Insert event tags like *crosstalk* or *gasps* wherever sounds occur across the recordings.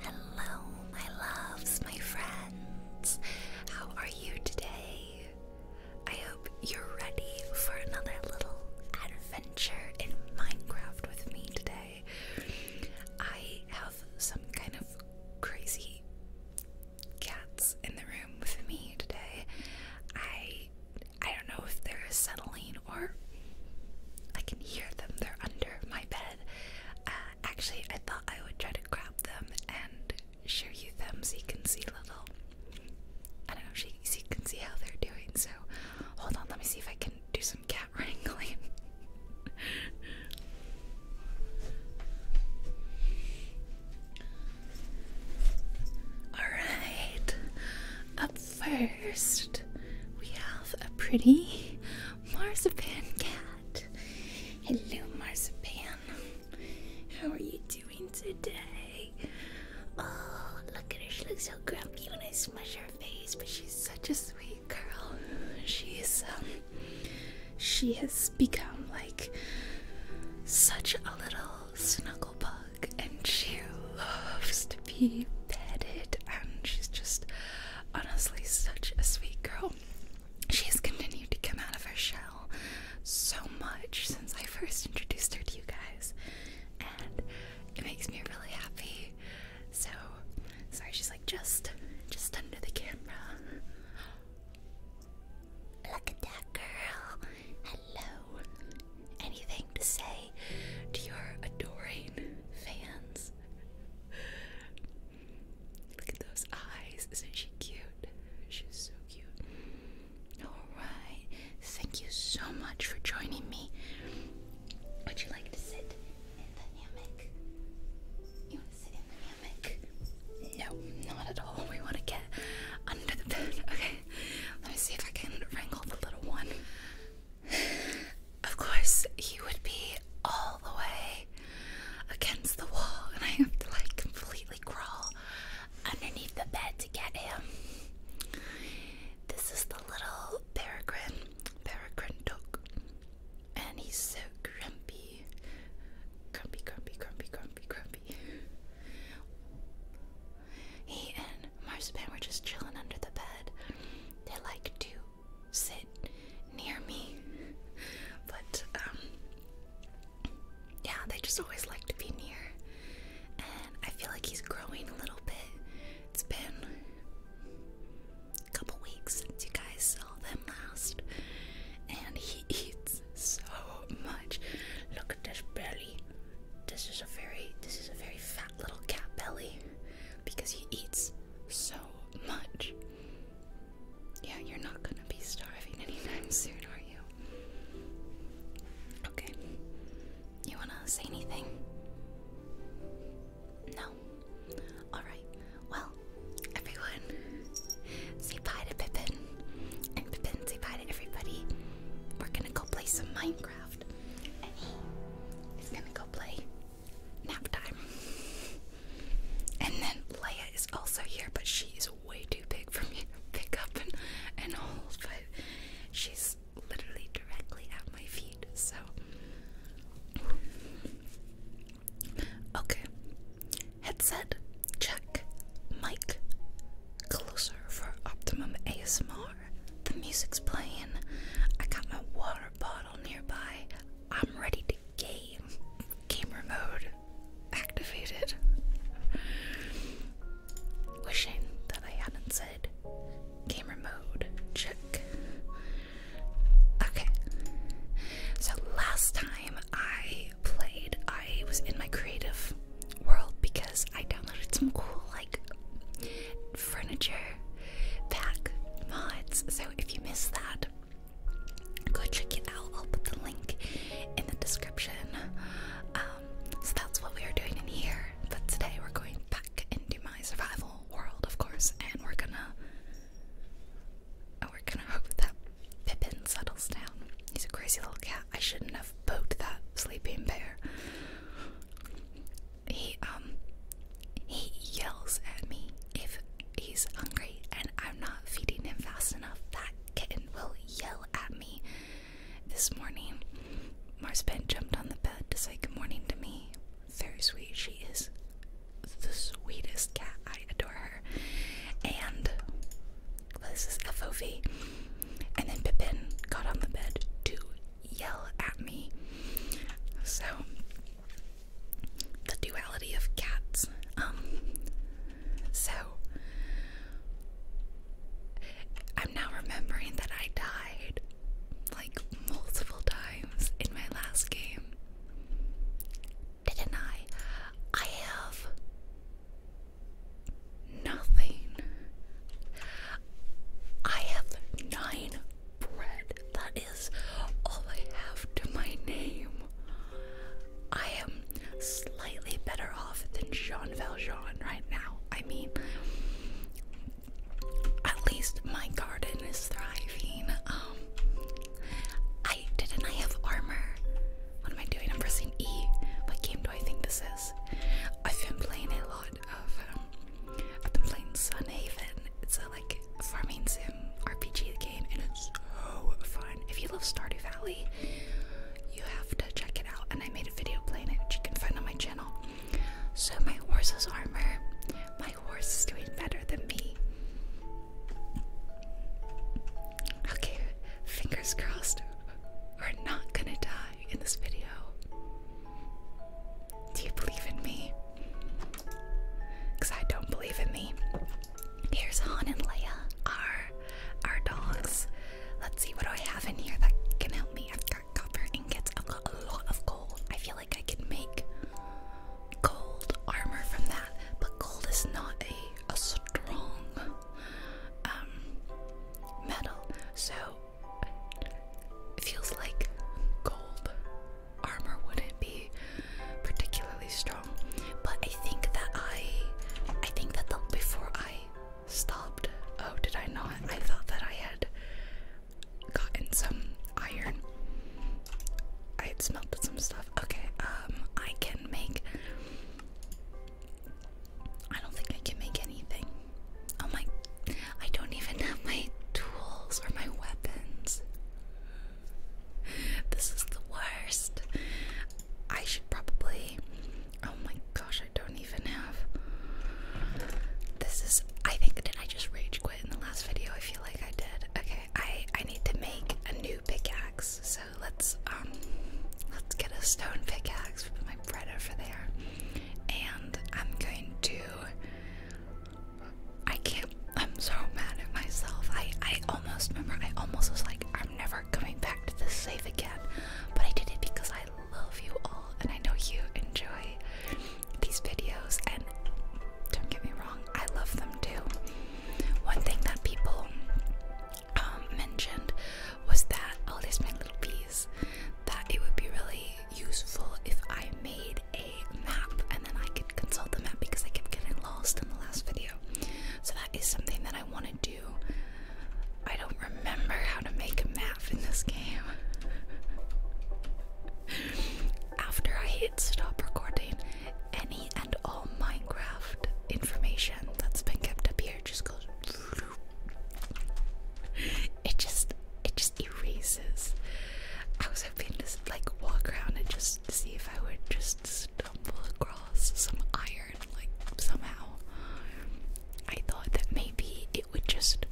Hello, my loves, my friends. How are you today? I hope you're ready for another little adventure in Minecraft with me today. I have some kind of crazy cats in the room with me today. I I don't know if they're settling or I can hear them. They're under my bed. Uh, actually, I thought I would try to grab them and show you them so you can see little. I don't know if you can see how they're doing. So hold on, let me see if I can do some cat wrangling. *laughs* All right, up First, we have a pretty marzipan cat. Hello, marzipan. How are you doing today? Oh, look at her. She looks so grumpy when I smush her face, but she's such a sweet girl. She's um, she has become like such a little snuggle bug and she loves to be petted, and she's just honestly such a sweet girl. She's continued to come out of her shell so much since I first introduced her to you guys, and it makes me really happy. So, sorry, she's like just, just under the camera. Look at that girl. Hello anything to say to your adoring fans? Look at those eyes. Isn't she cute? She's so cute. Alright. Thank you so much for joining me. Would you like to sit in the hammock? You want to sit in the hammock? No, not at all. We want to get under the bed. *laughs* Okay. Let me see if I can wrangle the little one. Of course, he would be all the way against the wall, and I have to like completely crawl underneath the bed to get him. This is the little peregrine, peregrine dog, and he's so grumpy. Grumpy, grumpy, grumpy, grumpy, grumpy. He and Marzipan we're just chilling under the bed. They like to sit near me, but um, yeah, they just always like to be near. And I feel like he's growing a little bit. It's been a couple weeks since you guys saw them last, and he *laughs* eats so much. Look at this belly. This is a very, this is a very fat little cat belly because he eats so much. Yeah, you're not gonna be starving anytime *laughs* soon, are you? Okay. You wanna say anything? No. Alright. Well, everyone, say bye to Pippin. And Pippin, say bye to everybody. We're gonna go play some Minecraft left. gonna go play nap time. And then Leia is also here, but she is way too big for me to pick up and, and hold, but she's literally directly at my feet, so. Okay. Headset, check. Mic, closer for optimum ASMR. The music's playing. I got my water bottle nearby. I'm ready to game. Gamer mode activated. Wishing that I hadn't said gamer mode check. Okay. So last time I played, I was in my creative world because I downloaded some cool like furniture pack mods. So if you missed that, go check it out. I'll put the link in the description. Um, so that's what we are doing in here. But today we're going back into my survival world, of course, and we're gonna we're gonna hope that Pippin settles down. He's a crazy little cat. I shouldn't have poked that sleeping bear he um he yells at me if he's hungry and I'm not feeding him fast enough. That kitten will yell at me. This morning, Marspent jumped on the bed to say good morning to me. Very sweet. She is the sweetest cat. I adore her. And this is FOV. And then Pippin got on the bed too yell at me. So, the duality of cats. Um, so, I'm now remembering that I died like multiple times in my last game. Didn't I? I have nothing. I have nine bread. That is all I have to my name. I am slightly better off than Jean Valjean right now. I mean, at least my garden is thriving. Um, I didn't I have armor? What am I doing? I'm pressing E. What game do I think this is? I've been playing a lot of. Um, I've been It's a like farming sim RPG game, and it's so fun. If you love Stardew Valley, you have to check it out. And I made a video playing it, which you can find on my channel. So my horse's armor. My horse is doing better than me. Okay, fingers crossed. We're not gonna die in this video. Do you believe in me? Because I don't believe in me. Here's Han and Leia, our, our dogs. Let's see what do I have in here that can help me. I've got copper ingots. I've got a lot of gold. I feel like I can make gold armor from that. But gold is not a, a strong um, metal. So it feels like gold armor wouldn't be particularly strong, but I think that I, I think that the, before I stopped, oh, did I not? I thought that I had gotten some iron. I had smelted some stuff. Okay, um, I can make. I don't think I can make anything. Oh my, I don't even have my tools or my weapons. This is the worst. I should probably, oh my gosh, I don't even have. This is, I think, did I just rage quit in the last video? I feel like I did. Okay, I, I need to make a new pickaxe, so let's, um, let's get a stone pickaxe. Put my bread over there, and I'm going to I can't. I'm so mad at myself. I I almost remember. I almost was like, I'm never coming back to this safe again. But I did it because I love you all, and I know you enjoy these videos. And don't get me wrong, I love them too. One thing that people um, mentioned was that all oh, these my little bees. That it would be really useful if I made a map and then I could consult the map because I kept getting lost in the last video. So that is something that I want to do. I don't remember how to make a map in this game. After I hit stop recording, any and all Minecraft information that's been kept up here just goes. *laughs* It just, it just just erases. I was hoping to like walk around and just see if I would just stumble across some iron, like somehow. I thought that maybe it would just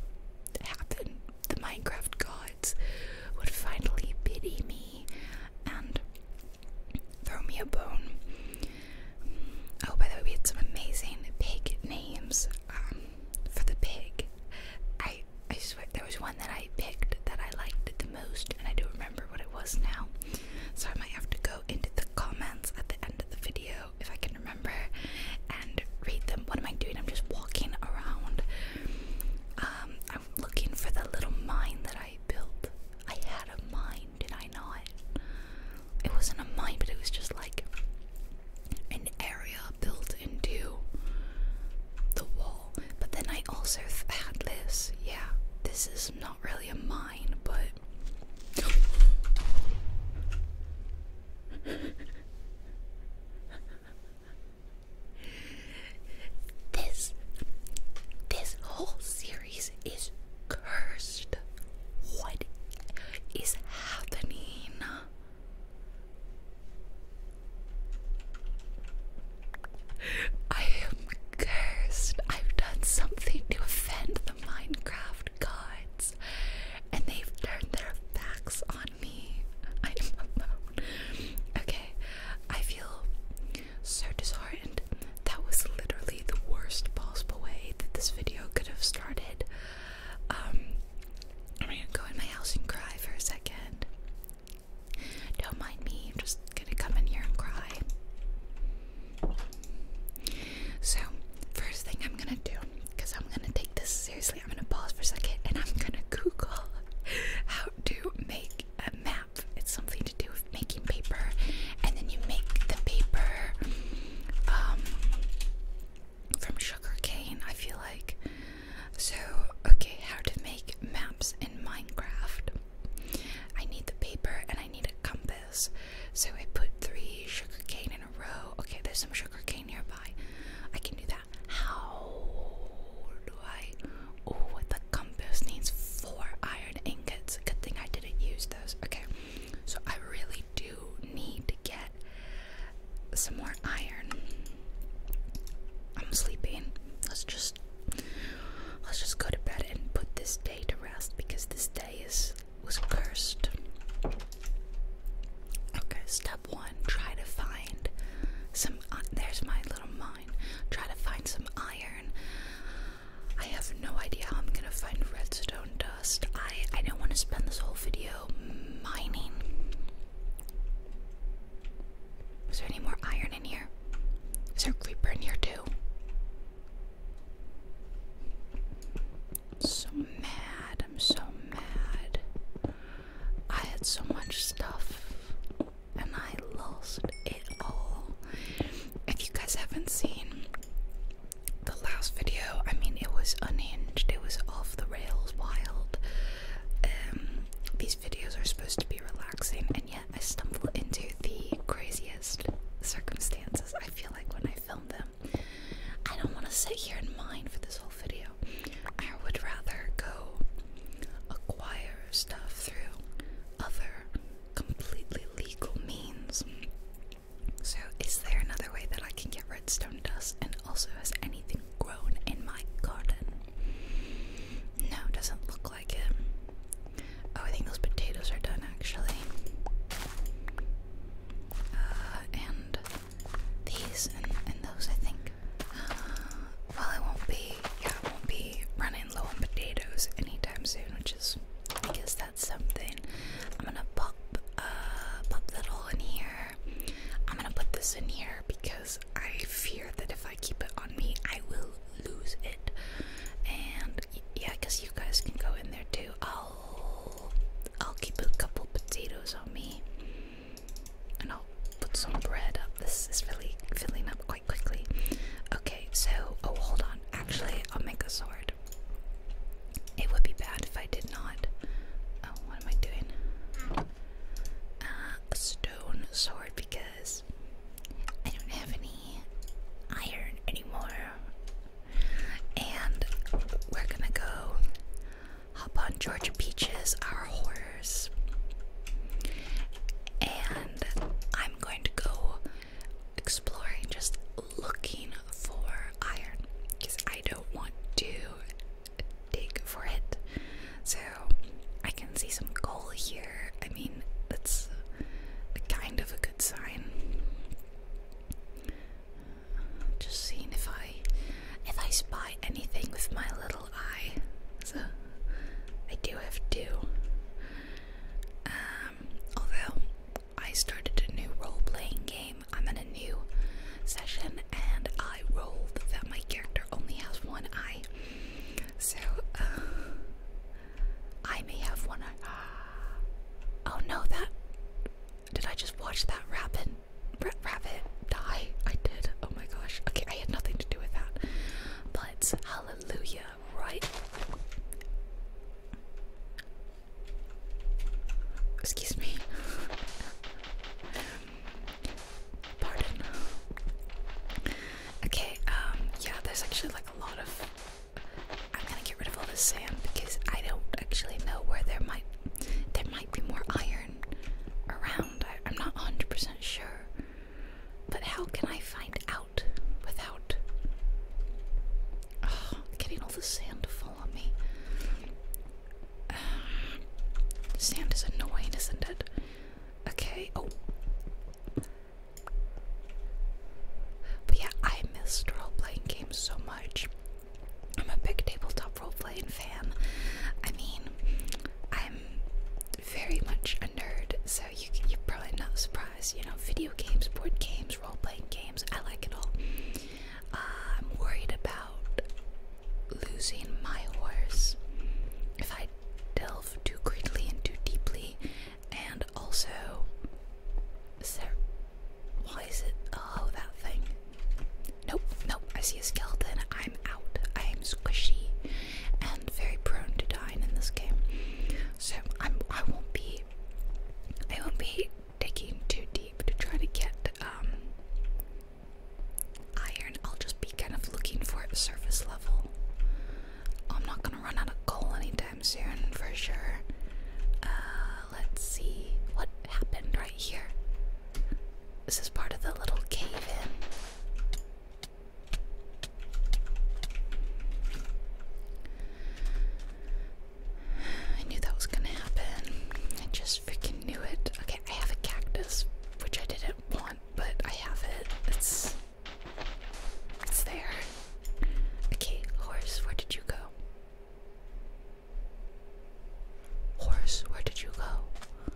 happen. The Minecraft gods would finally pity me and throw me a bone. Oh, by the way, we had some amazing pig names. Um, for the pig. I I swear there was one that I picked that I liked the most, and I don't remember what it was now. So I might have to go into the comments at the end of the video if I can remember and read them. What am I doing? I'm just walking around. Um, I'm looking for the little mine that I built. I had a mine, did I not? It wasn't a mine, but it was just like an area built into the wall. But then I also had this. Yeah, this is not really a mine, but. this this whole series is cursed. What is happening? I am cursed. I've done something to offend the Minecraft gods, and they've turned their backs on me. *laughs* I'm alone. Okay, I feel so disheartened. That was literally the worst possible way that this video could have started. Um, I'm gonna go in my house and cry for a second. Don't mind me, I'm just gonna come in here and cry. So, first thing I'm gonna do, because I'm gonna take this seriously, I'm gonna pause for a second and I'm gonna Google how to make a map. It's something to do with making paper, and then you make the paper. Um, from sugarcane, I feel like. So, okay, how to make maps in Minecraft. I need the paper and I need a compass. So I put three sugarcane in a row. Okay, there's some sugarcane nearby. I can do that. How do I? Oh, the compass needs four iron ingots. Good thing I didn't use those. Okay, so I really do need to get some more iron. I'm sleeping. Let's just let's just go to bed and put this day to rest because this day is was cursed. Okay, step one, try to find some uh, there's my little mine. Try to find some iron. I have no idea how I'm gonna find redstone dust. I I don't want to spend this whole video mining. Is there any more iron in here? Is there a creeper in here too? So mad, I'm so mad. I had so much stuff and I lost it all. If you guys haven't seen the last video, I mean, it was unhinged, it was off the rails wild. Um, these videos are supposed to be relaxing, and yet I stumble into the craziest circumstances. I feel like when I film them, I don't want to sit here and mine for this whole video. I would rather go acquire stuff through other completely legal means. So, is there another way that I can get redstone dust also, has anything grown in my garden? No, doesn't look like it. Oh, I think those potatoes are done actually. Uh, and these and, those, I think. *gasps* well, it won't be, yeah, it won't be running low on potatoes anytime soon, which is, I guess that's something. I'm gonna pop, uh, pop that all in here. I'm gonna put this in here because I fear that if I keep it on me, I will lose it. And yeah, I guess you guys can go in there too. I'll I'll keep a couple potatoes on me, and I'll put some bread up. This is really filling up quite quickly. Okay, so oh, hold on. Actually, I'll make a sword. It would be bad if I did not. Oh, what am I doing? a uh, stone sword because I don't have any iron anymore. And we're gonna go hop on Georgia Peaches, our horse. And I'm going to go exploring, just looking for iron because I don't want to dig for it. So I can see some coal here. I mean, that's kind of a good sign. Just seeing if I if I spy anything with my little eye. So I do have two. Um, although I started a new role-playing game I'm in a new session and I rolled that my character only has one eye. So uh, I may have one eye. Oh no, that did I just watch that rabbit rabbit die? I did. Oh my gosh. Okay, I had nothing to do with that. But hallelujah, right? Excuse me. Pardon. Okay, um, yeah, there's actually like a lot of. I'm gonna get rid of all the sand because I don't actually know where there might there might be more iron around. I, am not 100% sure. But how can I find out without getting all the sand to fall on me? Uh, *sighs* sand is annoying, isn't it? Okay, oh. But yeah, I missed role playing games so much. I'm a big tabletop role playing fan. I mean, I'm very much a nerd, so you, you're probably not surprised. You know, video games, board games, role playing games, I like it all. I'm worried about losing my horse if I delve too greedily and too deeply, and also. Is there. Why is it. Oh, that thing. Nope, nope. I see a skeleton. I'm out. I am squishy and very prone to dying in this game. So I'm, I won't be. I won't be digging too deep to try to get um, iron, I'll just be kind of looking for it surface level. I'm not gonna run out of coal anytime soon, for sure. Uh, let's see what happened right here. This is part of the little cave in. I knew that was gonna happen. I just freaking knew it. Okay. I have a cactus, which I didn't want, but I have it. It's it's there. Okay, horse, where did you go? Horse, where did you go?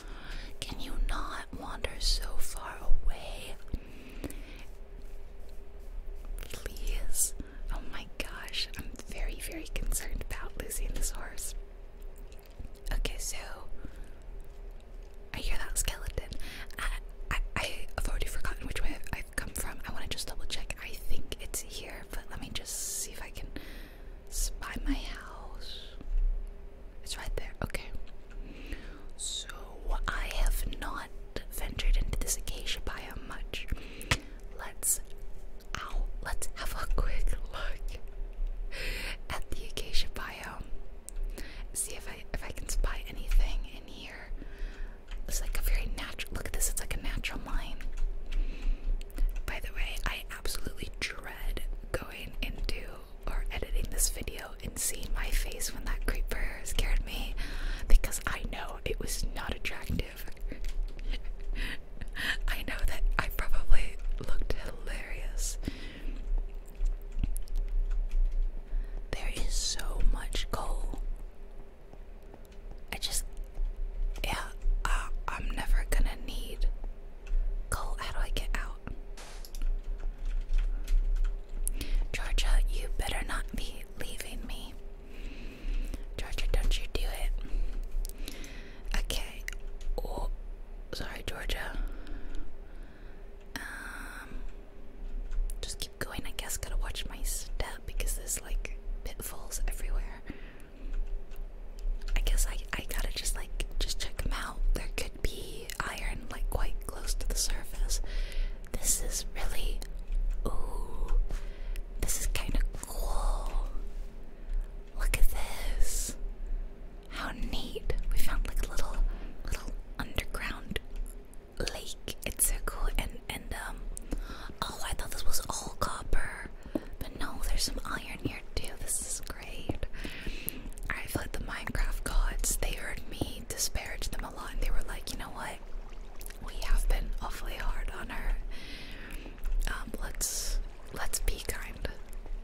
Can you not wander so far away? Please. Oh my gosh, I'm very, very concerned about losing this horse. Okay, so I hear that skeleton. I, I, have already forgotten which way I've come from. I want to just double check. I think it's here, but let me just see if I can spy my house. It's right there. Okay. So I have not ventured into this acacia biome much. Let's Ow, let's have a quick look at the acacia biome. See if I if I can spy anything in here. It's like a very natural look at this, it's like a natural mine. By the way, I absolutely dread going into or editing this video and seeing my face when that creeper scared me because I know it was not attractive. *laughs* *laughs* I know that I probably looked hilarious. There is so much coal. I just, yeah, I'm never gonna need coal. How do I get out? Georgia, you better not be leaving me. Georgia, don't you do it. Okay. Oh, sorry, Georgia. Um, just keep going. I guess gotta watch my step because there's like pitfalls everywhere. I guess I I gotta just like just check them out. There could be iron like quite close to the surface. This is really ooh. This is kind of cool. Look at this. How neat. We found like a little little underground lake. It's so cool and and um oh I thought this was all copper. But no, there's some iron here too. This is great. I feel like the Minecraft gods, they heard me disparage them a lot and they were like, you know what? We have been awfully hard on her. Um, let's let's be kind.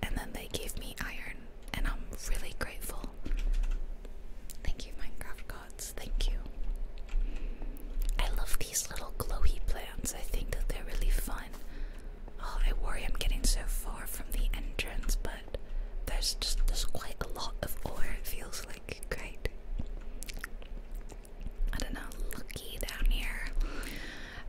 And then they gave me iron, and I'm really grateful. Thank you, Minecraft gods. Thank you. I love these little glowy plants. I think that they're really fun. Oh, I worry I'm getting so far from the entrance, but there's just there's quite a lot of ore. It feels like great. I don't know, lucky down here.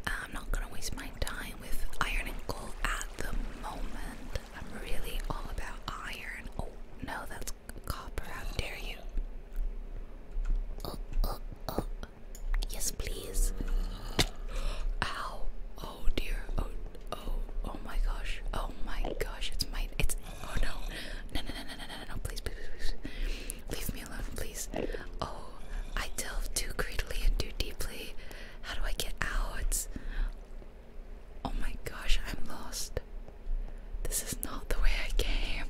I'm not gonna waste my time with iron and coal at the moment. I'm really all about iron. Oh no, that's copper. How dare you? Oh, oh, oh. Yes, please. Ow. Oh dear. Oh, oh, oh my gosh. Oh my gosh. It's my. It's. Oh no. No, no, no, no, no, no, no. Please, please, please. please. Leave me alone, please. Oh, I delve too greedily and too deeply. How do I get out? Oh my gosh, I'm lost. This is not the way I came.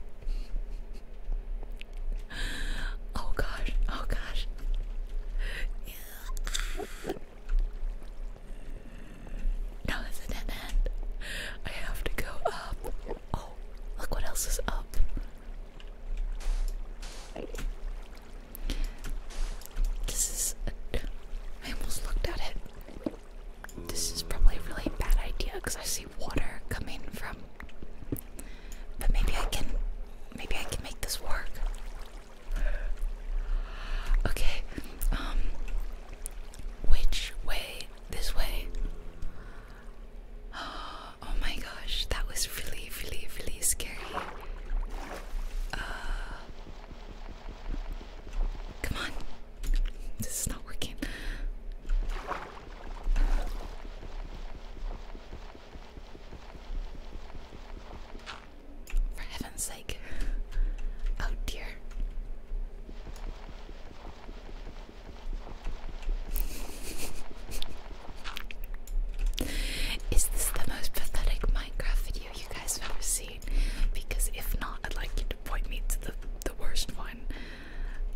Oh gosh, oh gosh. No, this is an end. I have to go up. Oh, look what else is up. This is. I almost looked at it. This is probably a really bad idea because I see water coming from. But maybe I can. Maybe I can make this work. Okay. Um. Which way? This way. Oh my gosh, that was really, really, really scary. Uh, come on, this is not working. For heaven's sake. Oh dear. Is this the most pathetic Minecraft video you guys have ever seen? Because if not, i like point me to the, the worst one.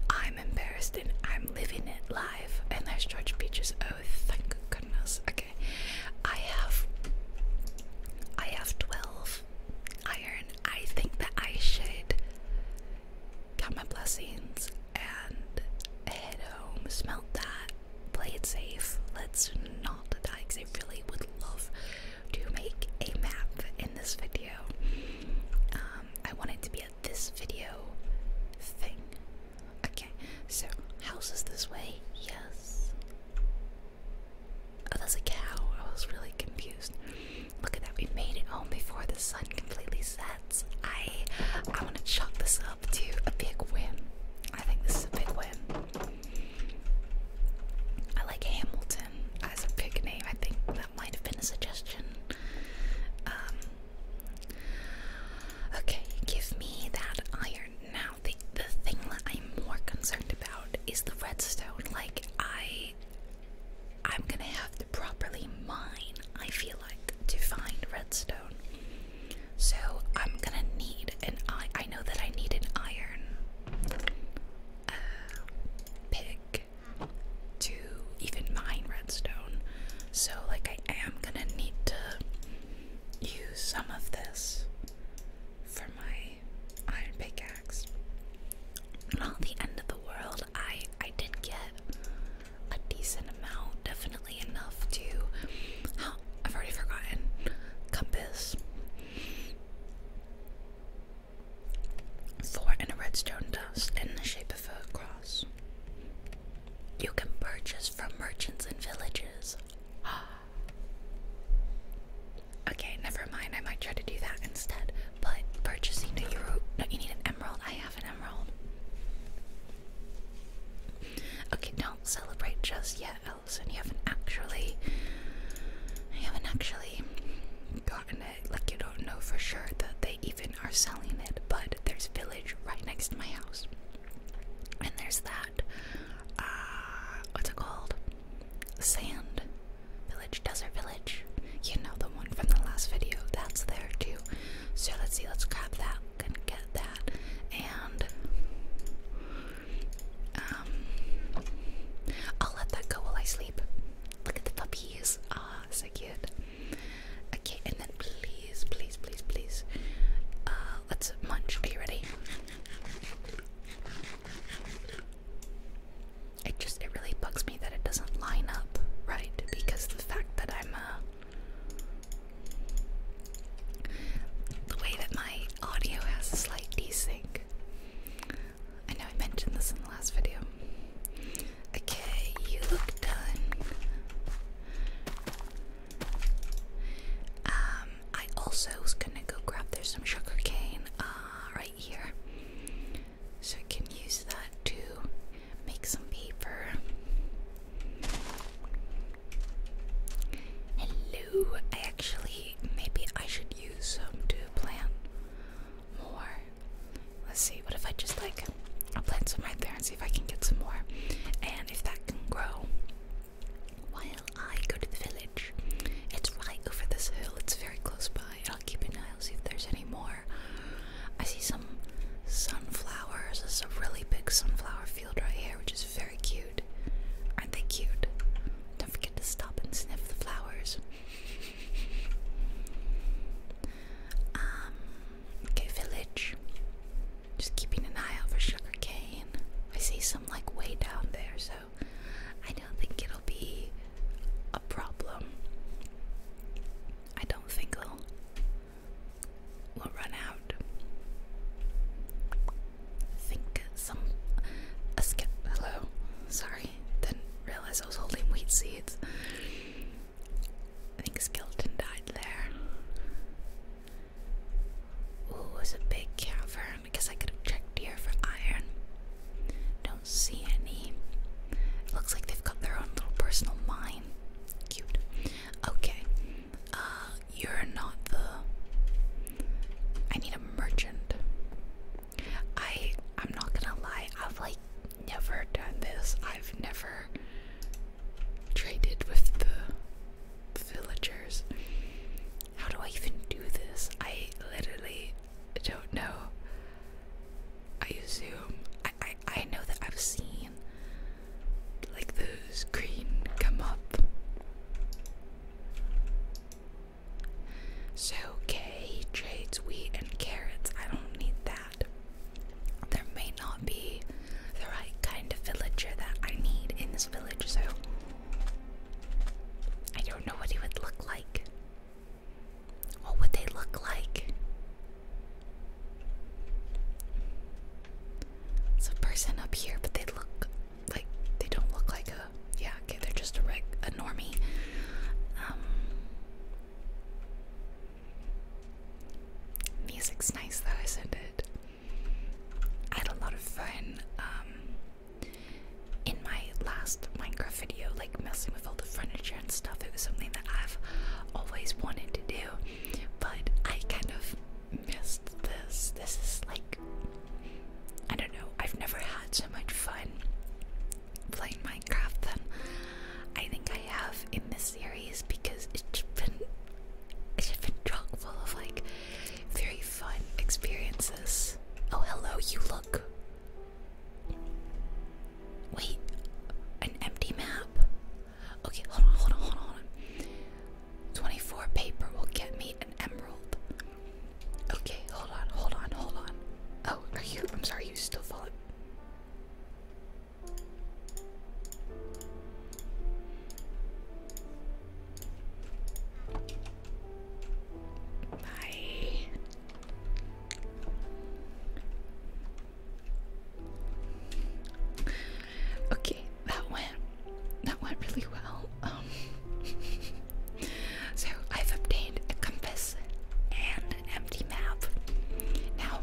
I'm embarrassed and I'm living it live. And there's George Peaches. Oh, thank goodness. Okay. I have I have 12 iron. I think that I should got my blessings, and head home, smelt that, play it safe, let's not die, because I really would love to make a map in this video. Um, I want it to be a this video thing. Okay, so houses this way, yes. Oh, there's a cow. I was really confused. Look at that. We made it home before the sun completely set. I I want to chalk this up to a big win. I think this is a big win. I like Hamilton as a big name. I think that might have been a suggestion. Um, okay, give me that iron now. The the thing that I'm more concerned about is the redstone. Like I, I'm gonna have to properly mine. I feel to find redstone. So I'm gonna need an I I know that I need an iron uh, pick to even mine redstone. So like I am gonna need to use some of this for my iron pickaxe. Not the end of the world. I I did get a decent amount, definitely enough to. I've already forgotten. Compass. Four and a redstone dust in the shape of a cross. You can purchase from merchants and villages. *gasps* okay, never mind. I might try to do that instead. But purchasing, a euro. no, you need an emerald. I have an Okay, don't celebrate just yet, Allison. You haven't actually, you haven't actually gotten it. Like you don't know for sure that they even are selling it. But there's village right next to my house, and there's that. Uh, what's it called? Sand village, desert village. You know the one from the last video. That's there too. So let's see. Let's grab that couldn't get that, and um, I'll let that go while I sleep. Look at the puppies, ah, so cute. Okay, and then please, please, please, please, uh, let's munch. Are you ready? It just, it really bugs me that it doesn't line up right because the fact that I'm the way that my audio has a slight desync. I know I mentioned this in the last video. Okay, you look done. Um, I also was gonna go grab there's some sugar cane uh right here. So I can use that to make some paper. Hello, I actually maybe I should use some to plant more. Let's see, what if I just like I'll plant some right there and see if I can get some more. And if that can grow while I go to the village. It's right over this hill, it's very close by. I'll keep an eye, I'll see if there's any more. I see some sunflowers. This is a really big sunflower field right here, which is very cute. Aren't they cute? Don't forget to stop and sniff the flowers. um, okay, village. Just keeping an eye out for sugar I see some like way down there, so I don't think it'll be a problem. I don't think it'll will run out. Think some a skip. Hello, sorry, didn't realize I was holding wheat seeds. I think a died there. Ooh, it a big cavern. I guess I could have here for iron. Don't see any. looks like they've got their own little personal mine. Cute. Okay. Uh, you're not the. I need a merchant. I. I'm not gonna lie. I've like never done this. I've never traded with the villagers. How do I even do this? I literally don't know. I assume I I, I know that I've seen like those green come up. So K trades wheat and carrots. I don't need that. There may not be the right kind of villager that I need in this village, so I don't know what he would look like. What would they look like? It's a person up here, but they look like they don't look like a yeah. Okay, they're just a reg a normie. Um, music's nice though, I not it? I had a lot of fun um, in my last Minecraft video, like messing with all the furniture and stuff. It was something that I've always wanted to do, but I kind of missed this. This is like, I don't know, I've never had so much fun playing Minecraft than I think I have in this series because it's been it's been chock full of like very fun experiences. Oh hello, you look. Wait, an empty map? Okay, hold on, hold on, hold on, hold on. 24 paper will get me an emerald. Okay, hold on, hold on, hold on. Oh, are you? I'm sorry, you still falling. Bye. Okay, that went that went really well. Um *laughs* so I've obtained a compass and empty map. Now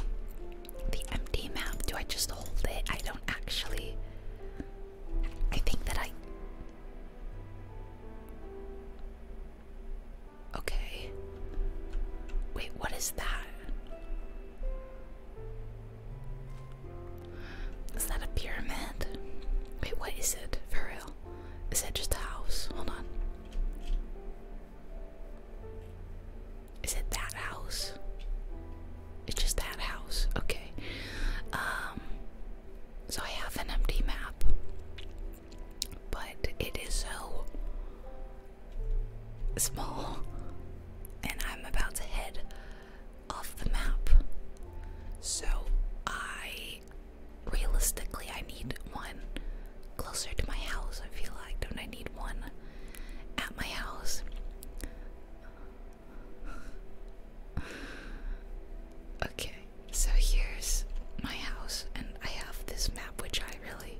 the empty map, do I just hold it? I don't actually I think that I Okay. Wait, what is that? Is that a pyramid? Wait, what is it? For real? Is it just a house? Hold on. Is it that house? It's just that house. Okay. Um so I have an empty map. But it is so small, and I'm about to head off the map. So, I realistically, I need one closer to my house. I feel like, don't I need one at my house? Okay, so here's my house, and I have this map which I really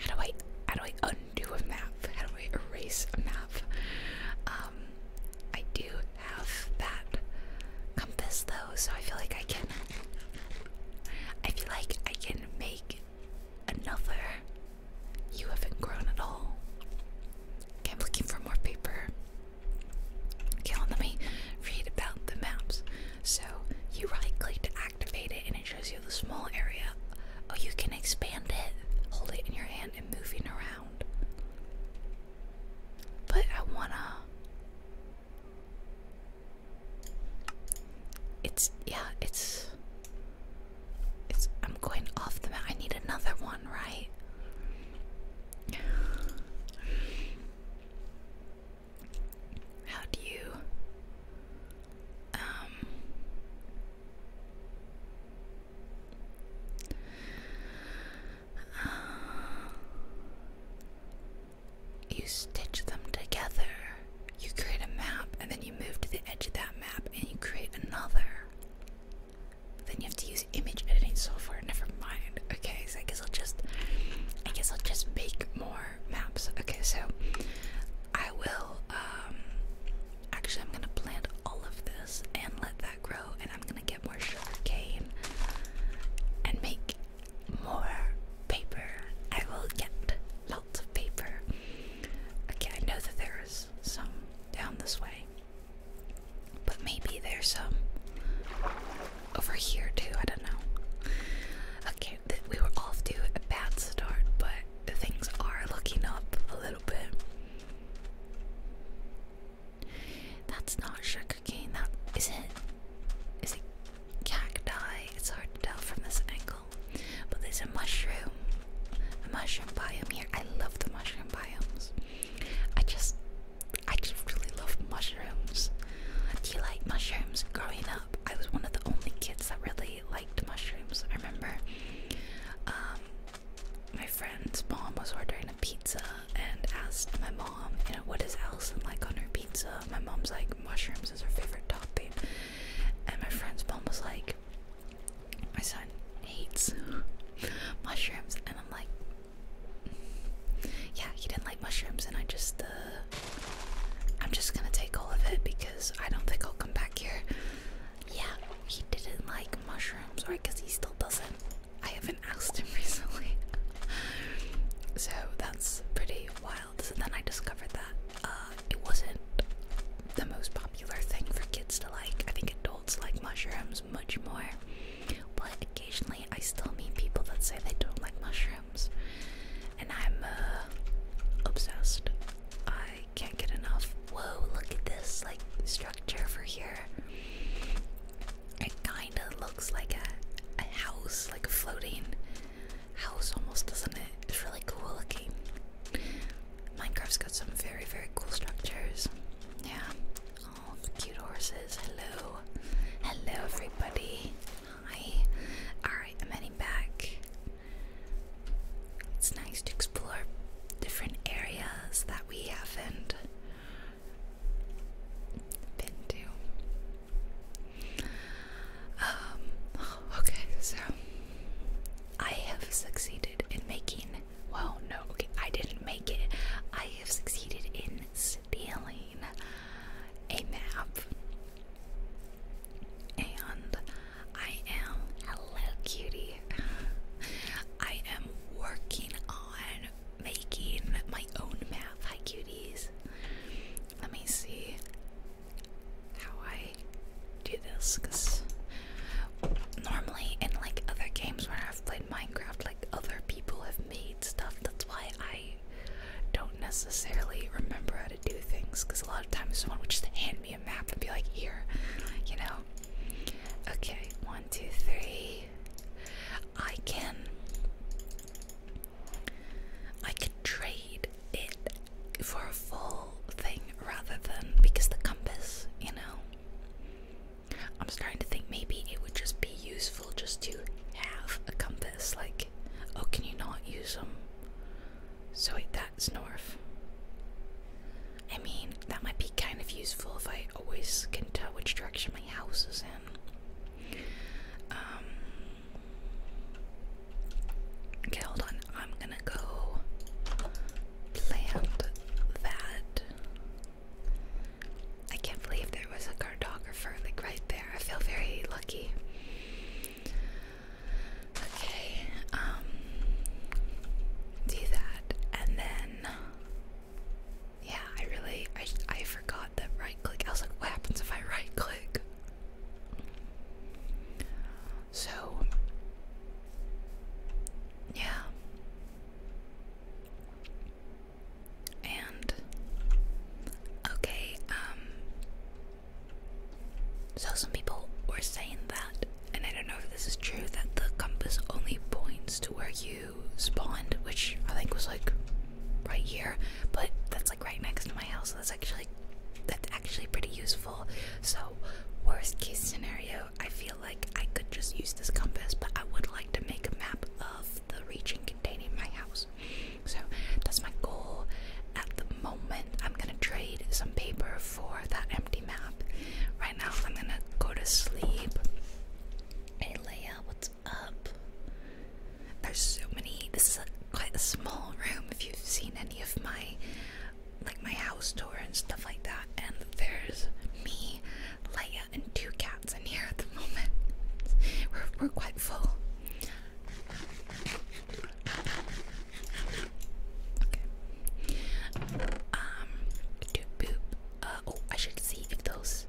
how do I how do I undo a map? How do I erase a map? Um I do have that compass though, so I feel like I can I feel like I can make another You haven't grown at all. Okay, I'm looking for more paper. Okay, let me read about the maps. So you right click to activate it and it shows you the small area. Oh, you can expand it. Hold it in your hand and moving around. But I wanna. It's yeah, it's. It's. I'm going off the map. I need another one, right? How do you um, uh, you stitch them together. You create a map, and then you move to the edge of that map, and you create another. then you have to use image editing software. Never mind. Okay, so I guess I'll just, I guess I'll just make more maps. Okay, so I will, um, actually, I'm gonna plant all of this and let that grow, and I'm gonna get more sugar cane and make more paper. I will get lots of paper. Okay, I know that there is some down this way, but maybe there's some over here too. I don't know. Okay we were off to a bad start, but things are looking up a little bit. That's not sugar cane, That is it. Is it cacti? It's hard to tell from this angle. But there's a mushroom, a mushroom biome here. I love the mushroom biomes. I just, I just really love mushrooms. Do you like mushrooms? Growing up, I was one of the only kids that really liked mushrooms. I remember um, my friend's mom was ordering a pizza and asked my mom, you know, what does Allison like on her pizza? My mom's like, mushrooms is her favorite topping. And my friend's mom was like, my son hates *laughs* mushrooms. And I'm like, yeah, he didn't like mushrooms. And I just, uh, I'm just gonna take all of it because I don't think I'll come back here. Yeah, he didn't like mushrooms, or Cause he still doesn't. I haven't asked him *laughs* recently. so that's pretty wild. So then I discovered that uh, it wasn't the most popular thing for kids to like. I think adults like mushrooms much more. But occasionally I still meet people that say they don't like mushrooms. And I'm uh, obsessed. I can't get enough. Whoa, look at this like structure over here. It kinda looks like a, a house, like a floating house almost, doesn't it? It's really cool looking. Minecraft's got some very, very cool structures. Yeah. Oh, cute horses. Hello. Hello, everybody. Hi. Alright, I'm heading back. It's nice to explore different areas that we haven't been to. Um, *sighs* okay, so I have succeeded in making. Well, no, I didn't make it. I have succeeded in stealing a map. And I am hello cutie. I am working on making my own map. Hi cuties. Let me see how I do this because normally in like other games where I've played Minecraft, like other people have made stuff. That's why I don't necessarily remember how to do things because a lot of times someone would just hand me map and be like, here, you know. Okay, one, two, three. I can. I could trade it for a full thing rather than because the compass, you know. I'm starting to think maybe it would just be useful just to have a compass. Like, oh, can you not use them? So that's north. I mean, that might be kind of useful if I always can tell which direction my house is in. Um, okay, hold on. I'm gonna go plant that. I can't believe there was a cartographer like right there. I feel very lucky. Okay, um, do that, and then, yeah, I really, I, I forgot that right click, I was like, what happens if I right click? So, yeah, and, okay, um, so some people were saying that, and I don't know if this is true, that the compass only points to where you spawned, which I think was like right here, but that's like right next to my house, so that's actually that's actually pretty useful. So worst case scenario, I feel like I could just use this compass, but I would like to make a map of the region containing my house. So that's my goal at the moment I'm gonna trade some paper for that empty map. Right now I'm gonna go to sleep. Hey Leia, what's up? There's so many this quite a small room if you've seen any of my like my house tour and stuff like that and there's me, Leia and two cats in here at the *laughs* moment. We're we're quite full. Okay. Um, do boop. Uh, oh, I should see if those,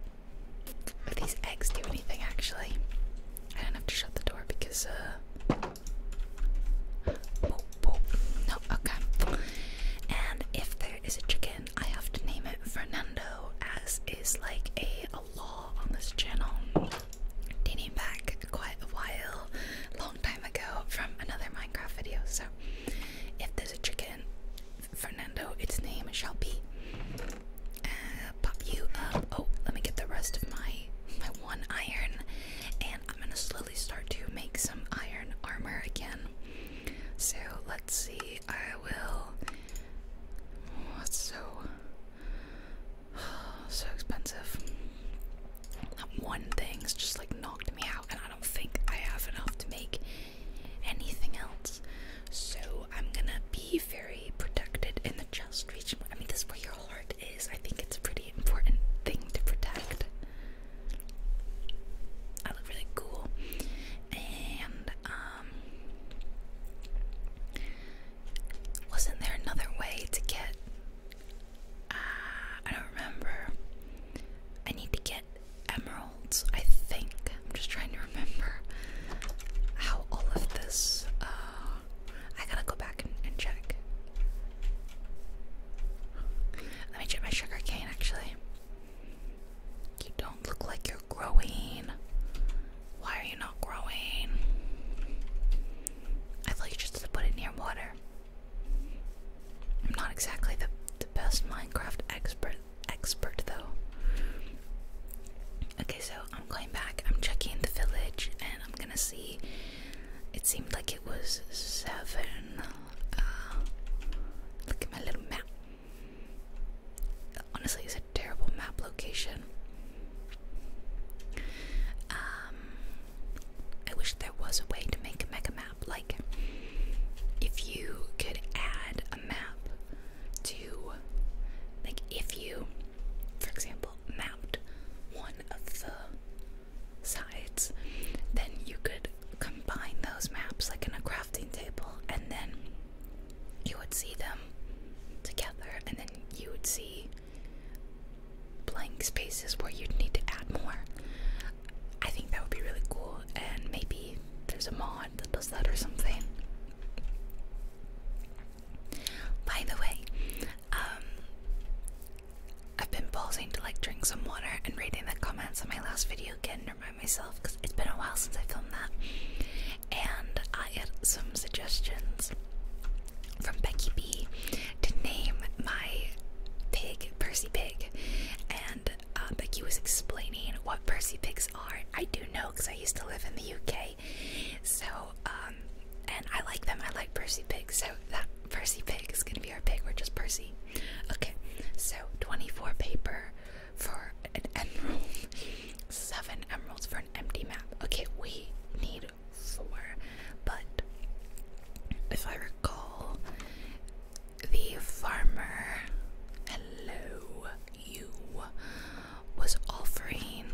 if these eggs do anything. Actually, I don't have to shut the door because. Uh, no. Okay. And if there is a chicken, I have to name it Fernando, as is like a a law on this channel dating back quite a while, long time ago from another Minecraft video. So, if there's a chicken, Fernando, its name shall be. Uh, pop you up. Oh, let me get the rest of my my one iron, and I'm gonna slowly start to make some iron armor again. So let's see. I will. What's oh, so? *sighs* so expensive. That one thing's just like knocked me out, and I don't think I have enough to make anything else. So I'm gonna be very protected in the chest region. I mean, this is where your heart is. I think it's a pretty important thing to protect. I look really cool, and um. Wasn't there another way to get Ah, I don't remember. I need to get emeralds, I think. I'm just trying to remember how all of this. Uh, I gotta go back and, and check. Let me check my sugar cane actually. You don't look like you're growing. Why are you not growing? I thought you just put it near water. I'm not exactly the best Minecraft expert expert though. Okay, so I'm going back. I'm checking the village, and I'm gonna see. It seemed like it was seven. Uh, look at my little map. Honestly, it's a terrible map location. Um, I wish there was a way to make a mega map. Like, if you could add a map to, like, if you, for example, mapped one of the sides, then you could combine those maps, like in a crafting table, and then you would see them together, and then you would see blank spaces where you'd need to add more. I think that would be really cool, and maybe there's a mod that does that or something. By the way, um, I've been pausing to like drink some water and reading the comments on my last video again remind myself because it's been a while since I filmed that. And I had some suggestions from Becky B to name my pig Percy Pig, and uh, Becky was explaining what Percy Pigs are. I do know because I used to live in the UK, so um, and I like them. I like Percy Pigs, so that Percy Pig is gonna be our pig. We're just Percy. Okay, so 24 paper for an emerald, *laughs* seven emeralds for an empty map. Okay, we need four. But if I recall, the farmer, hello, you, was offering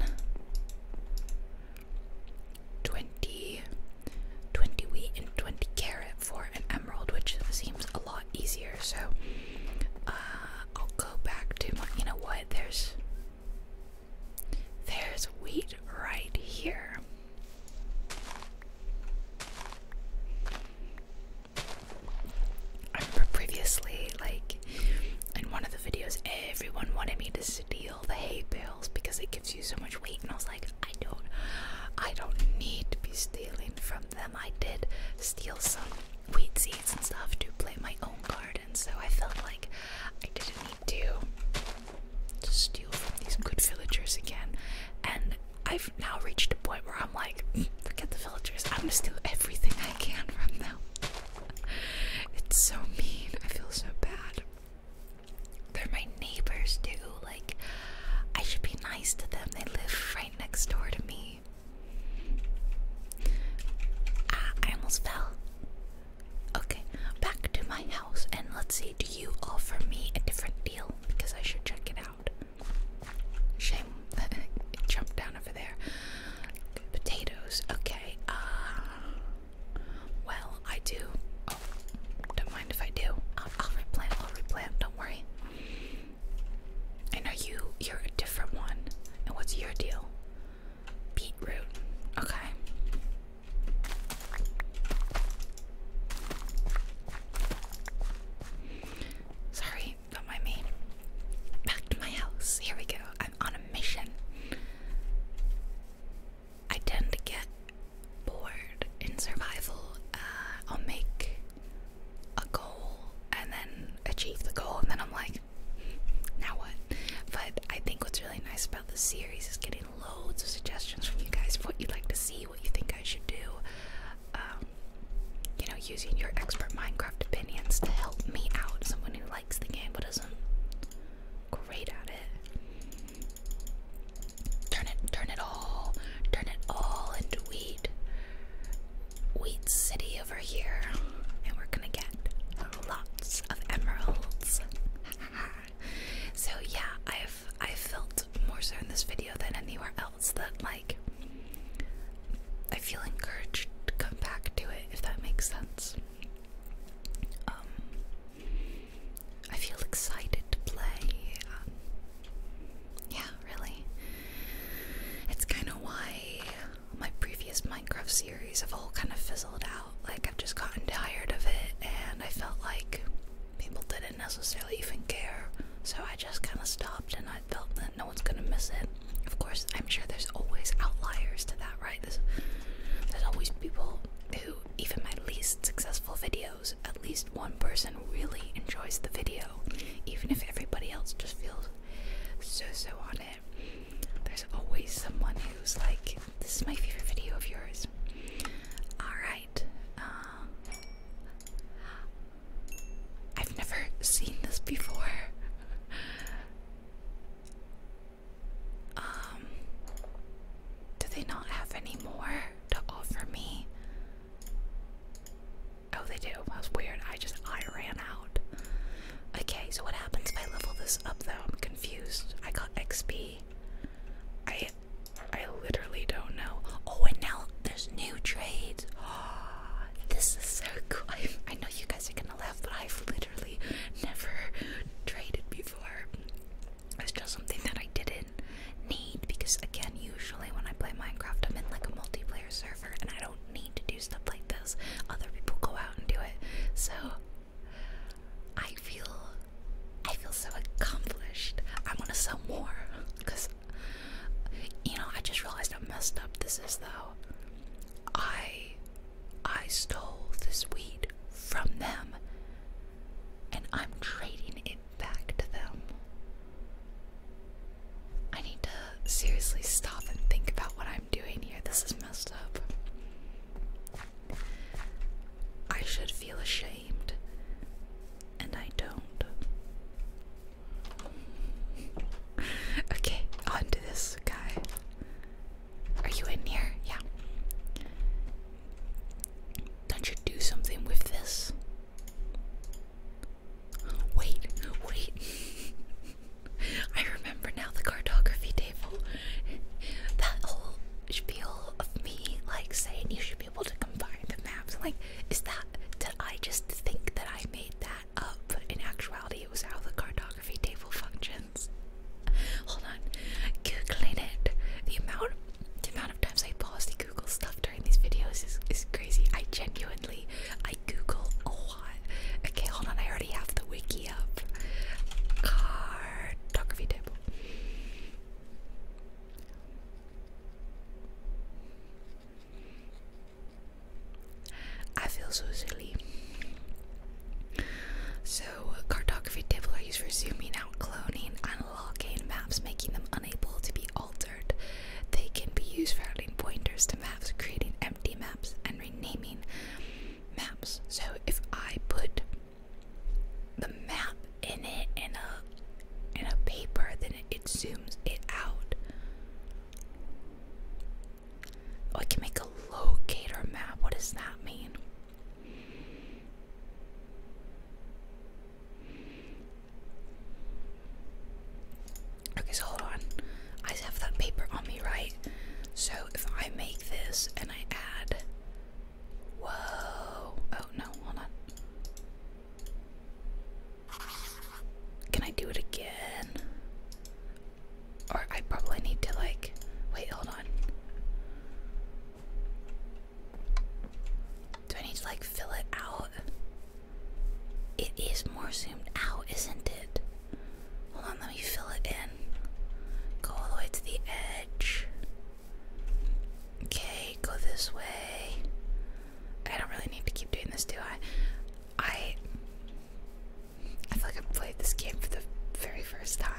20, wheat and 20 carat for an emerald, which seems a lot easier. So uh, I'll go back to my, you know what, there's there's wheat right here. I remember previously, like in one of the videos, everyone wanted me to steal the hay bales because it gives you so much weight, and I was like, I don't, I don't need to be stealing from them. I did steal some wheat seeds and stuff to plant my own garden, so I felt like I didn't need to steal from these good villagers again. And I've now reached a point where I'm like, forget the villagers, I'm gonna steal everything I can from them. *laughs* it's so mean, I feel so bad. They're my neighbors too, like, I should be nice to them, they live right next door to me. Ah, I almost fell. Okay, back to my house and let's see. Do you offer me a different deal? Because I should check it out. Shame that *laughs* it jumped down over there. Potatoes. Okay. Uh, well, I do. Oh, don't mind if I do. I'll, I'll replant. I'll replant. Don't worry. And are you. You're a different one. And what's your deal? Beetroot. Okay. Sorry, not mind me. Back to my house. Here we go. I'm on a mission. I tend to get bored in survival. Uh, I'll make a goal and then achieve the goal, and then I'm like, now what? But I think what's really nice about this series is getting loads of suggestions from you guys of what you'd like to see, what you think I should do. Um, you know, using your expert Minecraft opinions to help me out, someone who likes the game but isn't great at it. Turn it, turn it all, turn it all into wheat. Wheat City over here, and we're gonna get lots of emeralds. *laughs* So yeah, I've I felt more so in this video than anywhere else that like I feel encouraged to come back to it if that makes sense. Um, I feel excited to play. Um, yeah, really. It's kind of why my previous Minecraft series have all kind of fizzled out like I've just gotten tired of it, and I felt like people didn't necessarily even care. So I just kind of stopped, and I felt that no one's gonna miss it. Of course, I'm sure there's always outliers to that, right? There's, there's always people who, even my least successful videos, at least one person really enjoys the video, even if everybody else just feels so so on it. There's always someone who's like, this is my favorite video of yours. Alright. Um, I've never seen this before. Um, do they not have any more to offer me? Oh, they do. That was weird. I just I ran out. Okay, so what happens if I level this up though? I'm confused. I got XP. I I literally don't know. Oh, and now there's new trades. *gasps* this is so cool. I, *laughs* I know you guys are gonna laugh, but I've literally never traded before. It's just something that I didn't need because, again, usually when I play Minecraft, I'm in like a multiplayer server and I don't need to do stuff like this. Other people go out and do it. So I feel I feel so accomplished. I want to sell more because you know I just realized how messed up this is though. I I stole this weed from them and I'm trading it back to them. I need to seriously stop and think about what I'm doing here. This is messed up. I should feel ashamed, and I don't. *laughs* okay, onto this guy. Are you in here? Yeah. Don't you do something with this? Wait, wait. *laughs* I remember now the cartography table that whole spiel of me like saying you should be able to combine the maps. I'm like, is that did I just think that I made that up? But in actuality, it was how the cartography table functions. Hold on, googling it. The amount, the amount of times I pause to Google stuff during these videos is is crazy. I genuinely, I Google a lot. Okay, hold on, I already have the wiki up. Cartography table. I feel so silly. So, cartography table are used for zooming out, cloning, unlocking maps, making them unable to be altered. They can be used for adding pointers to maps, creating empty maps, and renaming maps. So, if I put the map in it and a and a paper, then it, zooms it out. Oh, I can make a locator map. What does that mean? Okay, so hold on. I have that paper on me, right? So if I make this and I add Whoa. Oh no, hold on. Can I do it again? Or I probably need to like wait, hold on. Do I need to like fill it out? It is more zoomed out, isn't it? Hold on, let me fill it in. Go all the way to the edge. Okay, go this way. I don't really need to keep doing this, do I? I I feel like I've played this game for the very first time.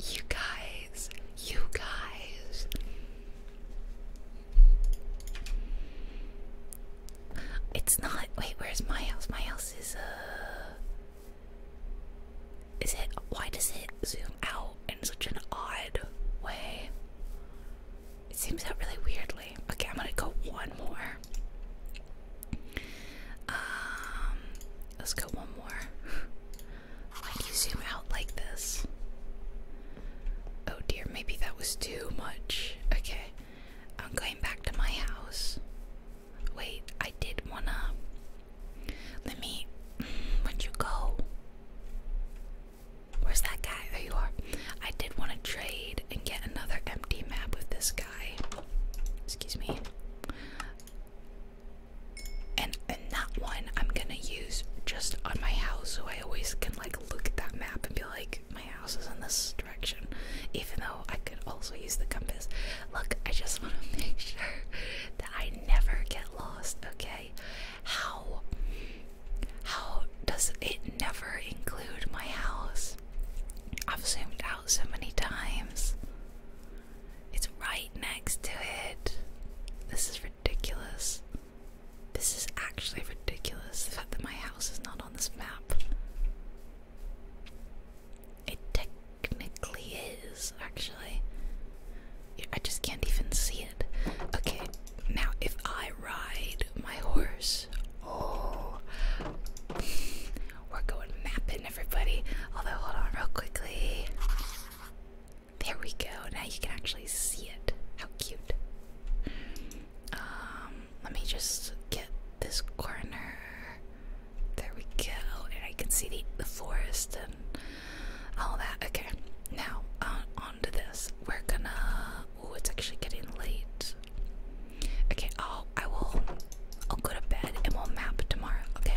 You guys, you guys. It's not. Wait, where's my house? My house is, uh. Is it. Why does it zoom out in such an odd way? It seems out really weirdly. Okay, I'm gonna go one more. Um. Let's go one more. *laughs* Why do you zoom out like this? Oh dear, maybe that was too much. Okay. I'm going back to my house. Wait, I did wanna. Let me. would you go? Where's that guy? There you are. I did want to trade and get another empty map with this guy. Excuse me. And and that one I'm gonna use just on my house so I always can like look at that map and be like my house is in this direction, even though I could also use the compass. Look, I just *laughs* want to make sure that I never get lost. Okay, how how does it never include my house? I've zoomed out so many times. It's right next to it. This is ridiculous. This is actually ridiculous. The fact that my house is not on this map. It technically is, actually. I just can't even see it. Okay, now if I ride my horse, oh, we're going mapping, everybody. Although, hold on, real quickly. There we go. Now you can actually see it. How cute. Um, let me just get this corner. There we go, and I can see the, forest and all that. Okay, now uh, onto this. We're gonna. Oh, it's actually getting late. Okay, I'll Oh, I'll go to bed and we'll map tomorrow. Okay,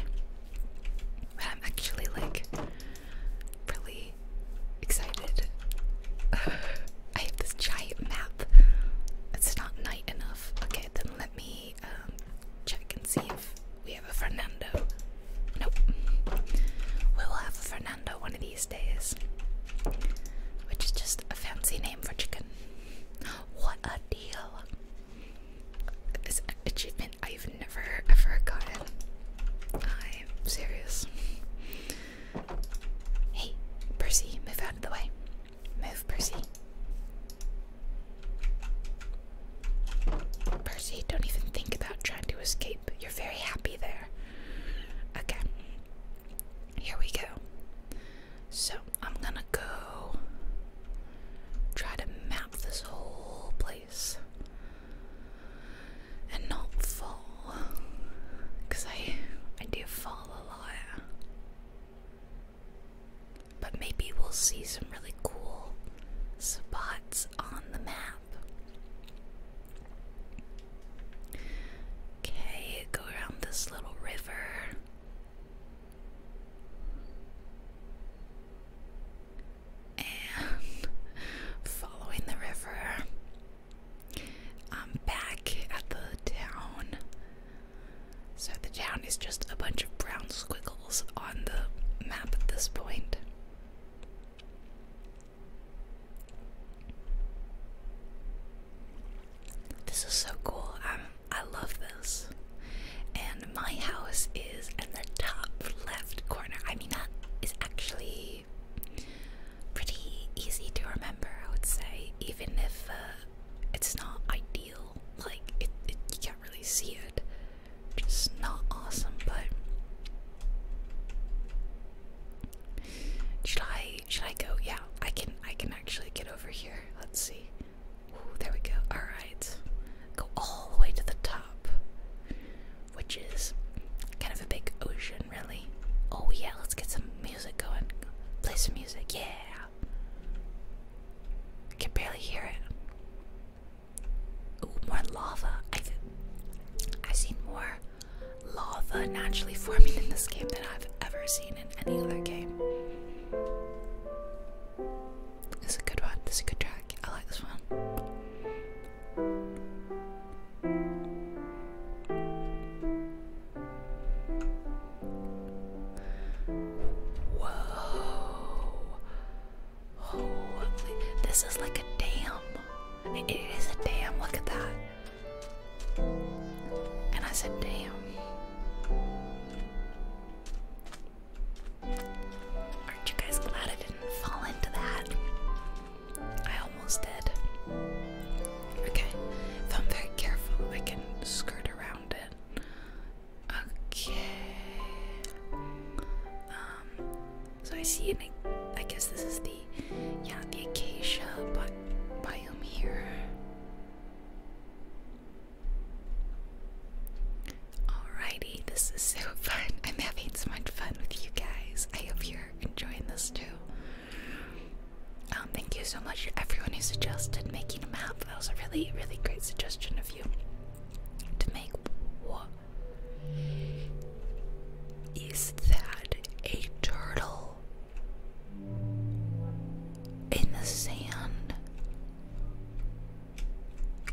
but I'm actually like really excited. *sighs* I have this giant map. It's not night enough. Okay, then let me um, check and see if we have a Fernando. Nope. We will have a Fernando one of these days, which is just a fancy name for chicken. *gasps* What a deal! This achievement I've never ever gotten. I'm serious. Hey, Percy, move out of the way. Move, Percy. Percy, don't even think about trying to escape. You're very happy there. Okay. Here we go. So, I'm gonna go try to map this whole place and not fall. I, I do fall a lot. But maybe we'll see some really cool spots on the map. Okay, go around this little river. And *laughs* following the river, I'm back at the town so the town is just a bunch of brown squiggles on the map at this point. This is so cool. Um, I love this. And my house is in the top left corner. I mean, that is actually pretty easy to remember, I would say, even if uh, it's not ideal. Like it, you can't really see it. Just not awesome, but should I should I go? Yeah, I can I can actually get over here. Let's see. Ooh, there we go. Alright. Go all the way to the top. Which is kind of a big ocean really. Oh yeah, let's get some music going. Play some music, yeah. I can barely hear it. Ooh, more lava. I've, I've seen more lava naturally forming in this game than I've ever seen in any other game. This is a good one. This is a good track. I like this one. Whoa. This is like a dam. it is a dam. Look at that. And I said, damn. Aren't you guys glad I didn't fall into that? I almost did. Okay, if I'm very careful, I can skirt Okay. Um, so I see I guess this is the, yeah, the acacia biome here. Alrighty, this is so *laughs* fun. I'm having so much fun with you guys. I hope you're enjoying this too. Um, thank you so much everyone who suggested making a map. That was a really, really great suggestion of you to make what is that? A turtle in the sand.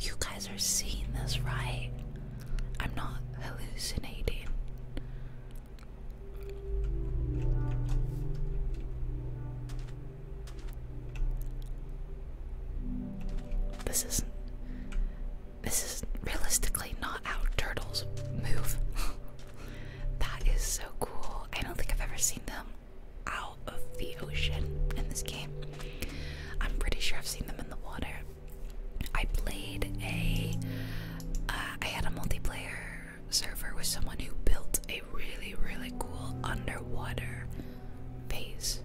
You guys are seeing this, right? I'm not hallucinating. This isn't. This is realistically not how turtles move. *laughs* that is so cool. I don't think I've ever seen them out of the ocean in this game. I'm pretty sure I've seen them in the water. I played a. Uh, had a multiplayer server server was someone who built a really really cool underwater base.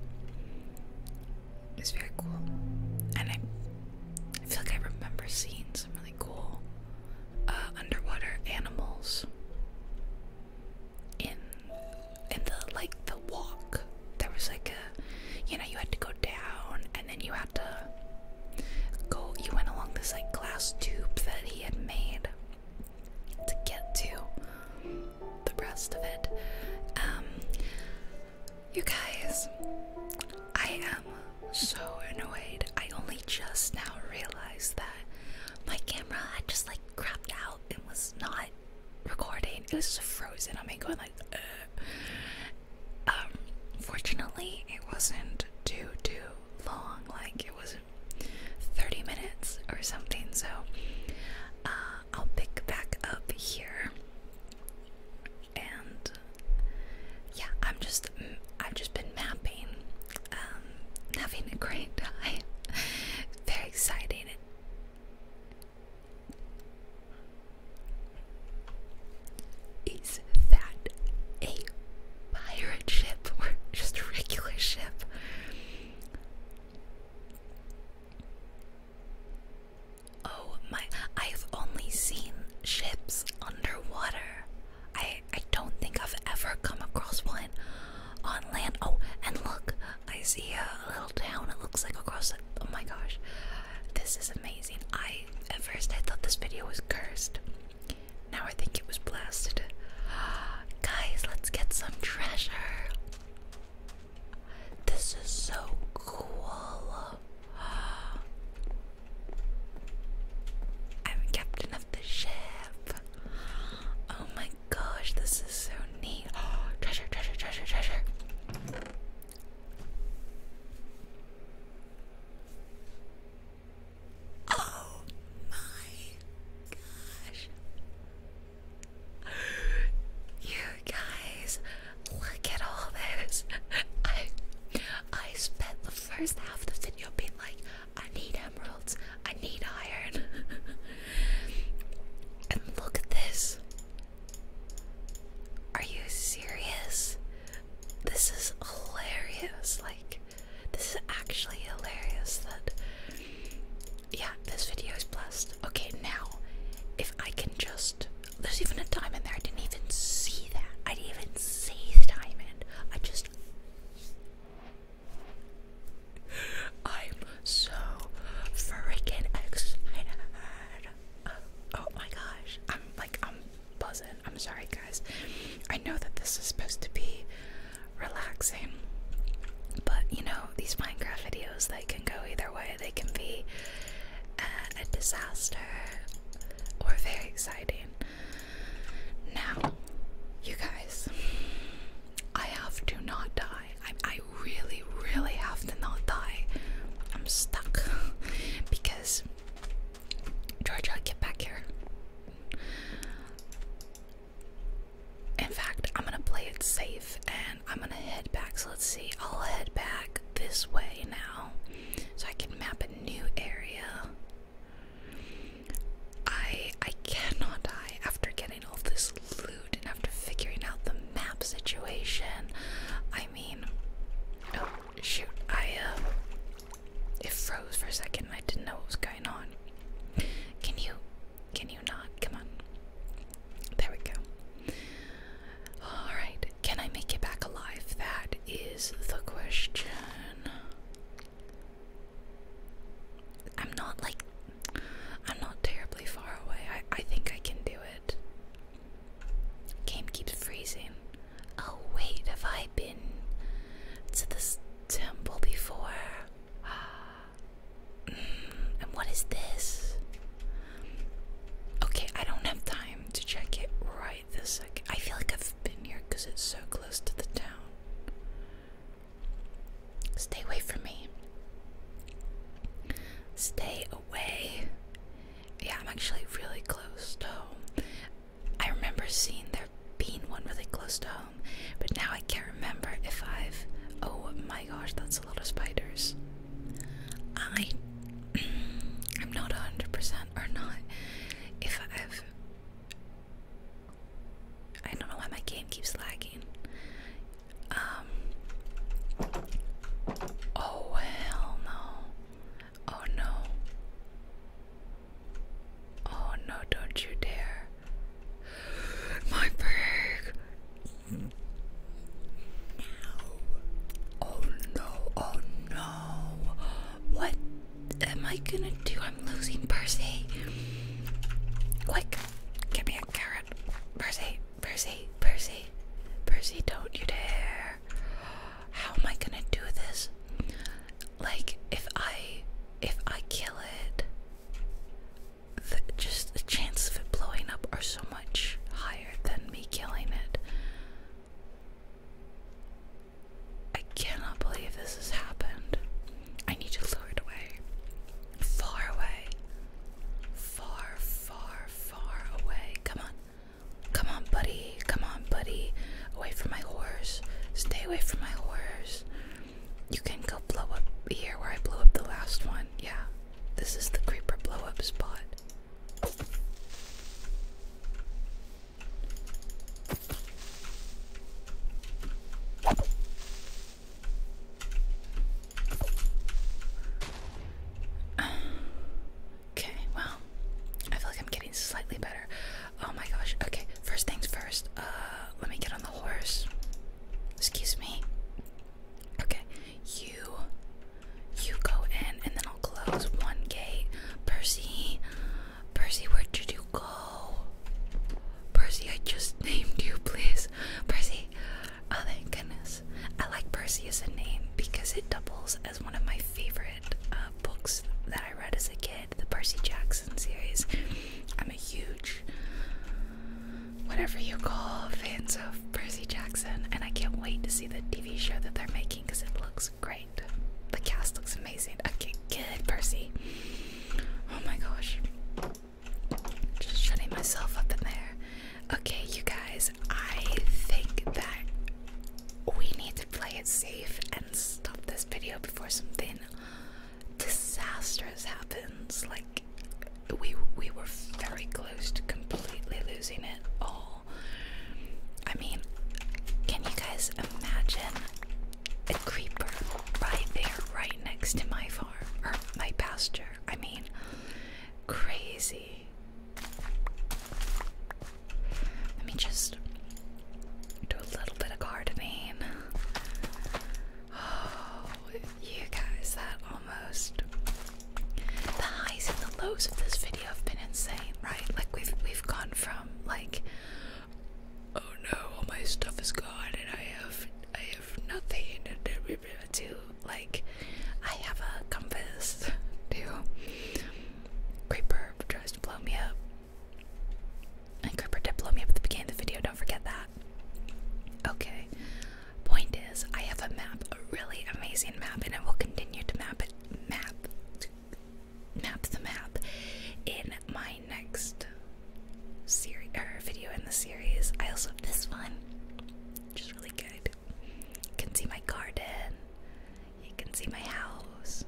It's very cool, and I, feel like I remember seeing some really cool uh, underwater animals in in the like the walk. There was like a, you know, you had to go down, and then you had to go. You went along this like glass tube that he had made, to get to the rest of it. Um, you guys, I am so annoyed. I only just now realized that my camera had just like crapped out and was not recording. It was just frozen on me going like, Ugh. um, fortunately it wasn't too too long. Like it was 30 minutes or something. So uh, I'll pick back up here, and yeah, I'm just I've just been mapping, um, having a great *laughs* time. Very exciting. Is that a pirate ship or *laughs* just a regular ship. Oh my, I've only seen ships underwater. I I don't think I've ever come across one on land. Oh, and look, I see a little town. It looks like across it. Oh my gosh. This is amazing. I at first I thought this video was cursed. Now I think it was blasted. *gasps* Guys, let's get some treasure. This is so cool. *gasps* I'm captain of the ship. Oh my gosh, this is so neat. Oh, *gasps* treasure, treasure, treasure, treasure. Oh my gosh. You guys, look at all this. I I spent the first half of the video being like, I need emeralds, I need iron. *laughs* and look at this. Are you serious? This is hilarious. Like this is actually hilarious that yeah, this video is blessed. Okay, now if I can just there's even a diamond there I didn't even see that. I didn't even see the diamond. in. I just I'm so freaking excited. oh my gosh. I'm like I'm buzzing. I'm sorry guys. I know that this is supposed to be relaxing. But you know, these Minecraft videos, they can go either way. They can be uh, a disaster or very exciting. Now, you guys, I have to not die. I, I really, really have to not die. I'm stuck *laughs* because Georgia, get back here. In fact, I'm gonna play it safe and I'm gonna head back. So let's see, I'll head back this way now so I can map a new area. I I cannot die after getting all this loot and after figuring out the map situation. I mean, oh shoot, I uh, it froze for a second and I didn't know what was going on. Can you can you not? Come on. There we go. Alright, can I make it back alive? That is the question. I'm not like I'm not terribly far away. I I think I can do it. Game keeps freezing. Oh wait, have I been to this temple before. *sighs* Mm, and what is this? Okay, I don't have time to check it right this second. I feel like I've been here because it's so close to the town. Stay away from me. Stay away. Yeah, I'm actually really close though. I remember seeing there being one really close to home, but now I can't remember if I've. Oh my gosh, that's a lot of spiders. I. *clears throat* I'm not 100% or not. If I've. I don't know why my game keeps lagging. Um. Oh, hell no. Oh no. Oh no, don't you dare. My pig! Oh no, oh no. What am I gonna do? I'm losing Percy. Quick, give me a carrot. Percy, Percy, Percy, Percy, don't you dare. How am I gonna do this? Like, if I if I kill it, the, just the chances of it blowing up are so much higher than me killing it. I cannot believe this has happened. I need to lure it away. Far away. Far, far, far away. Come on. Come on, buddy. Come on, buddy away from my horse. Stay away from my horse. You can go blow up here where I blew up the last one. Yeah, this is the creeper blow up spot. *sighs* Okay, well, I feel like I'm getting slightly better. Oh my gosh. Okay, first things first. Uh, let me get on the horse. Excuse me. Okay, you, you go in, and then I'll close one gate. Percy, Percy, where did you go? Percy, I just *laughs* named you, please. Percy. Oh thank goodness. I like Percy as a name because it doubles as one of my favorite uh, books that I read as a kid, the Percy Jackson series. I'm a huge, whatever you call, fans of Percy Jackson, and I can't wait to see the TV show that they're making because it looks great. The cast looks amazing. Okay, good, Percy. Oh my gosh. Just shutting myself up in there. Okay, you guys, I think that we need to play it safe and stop this video before something disastrous happens. Like we we were very close to completely losing it all. I mean, can you guys imagine a creeper right there, right next to my farm or my pasture? I mean, crazy. Let me just do a little bit of gardening. Oh, you guys, that almost. The highs and the lows of this video have been insane, right? Like we've we've gone from like, oh no, all my stuff is gone and I have I have nothing to like, I have a compass Too creeper tries to blow me up and Cooper did blow me up at the beginning of the video, don't forget that. Okay. Point is, I have a map, a really amazing map, and I will continue to map it map map the map in my next series or video in the series. I also have this one. Which is really good. You can see my garden. You can see my house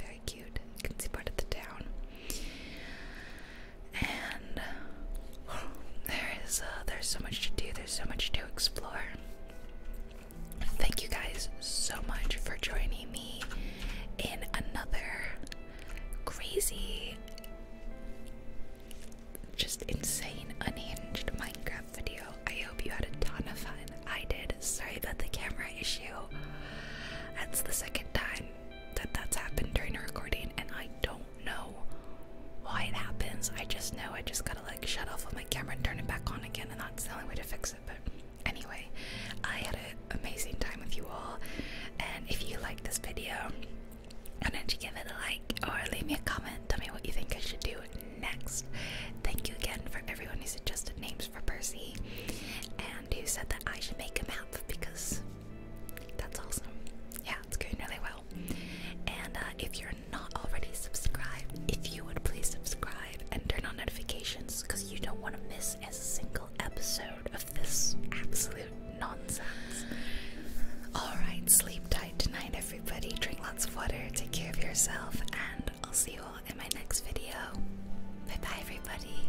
very cute. You can see part of the town. And *gasps* there is uh, there's so much to do. There's so much to explore. Thank you guys so much for joining me in another crazy, just insane, unhinged Minecraft video. I hope you had a ton of fun. I did. Sorry about the camera issue. That's the second time that that's happened during a recording, and I don't know why it happens. I just know I just gotta like shut off of my camera and turn it back on again, and that's the only way to fix it. But anyway, I had an amazing time with you all, and if you like this video, why don't you give it a like or leave me a comment? Tell me what you think I should do next. Thank you again for everyone who suggested names for Percy and who said that I should make a map because that's awesome. Yeah, it's going really well. And uh, if you're not already subscribed, if you would please subscribe and turn on notifications because you don't want to miss a single episode of this absolute nonsense. Alright, sleep tight tonight, everybody. Drink lots of water, take care of yourself, and I'll see you all in my next video. Bye bye, everybody.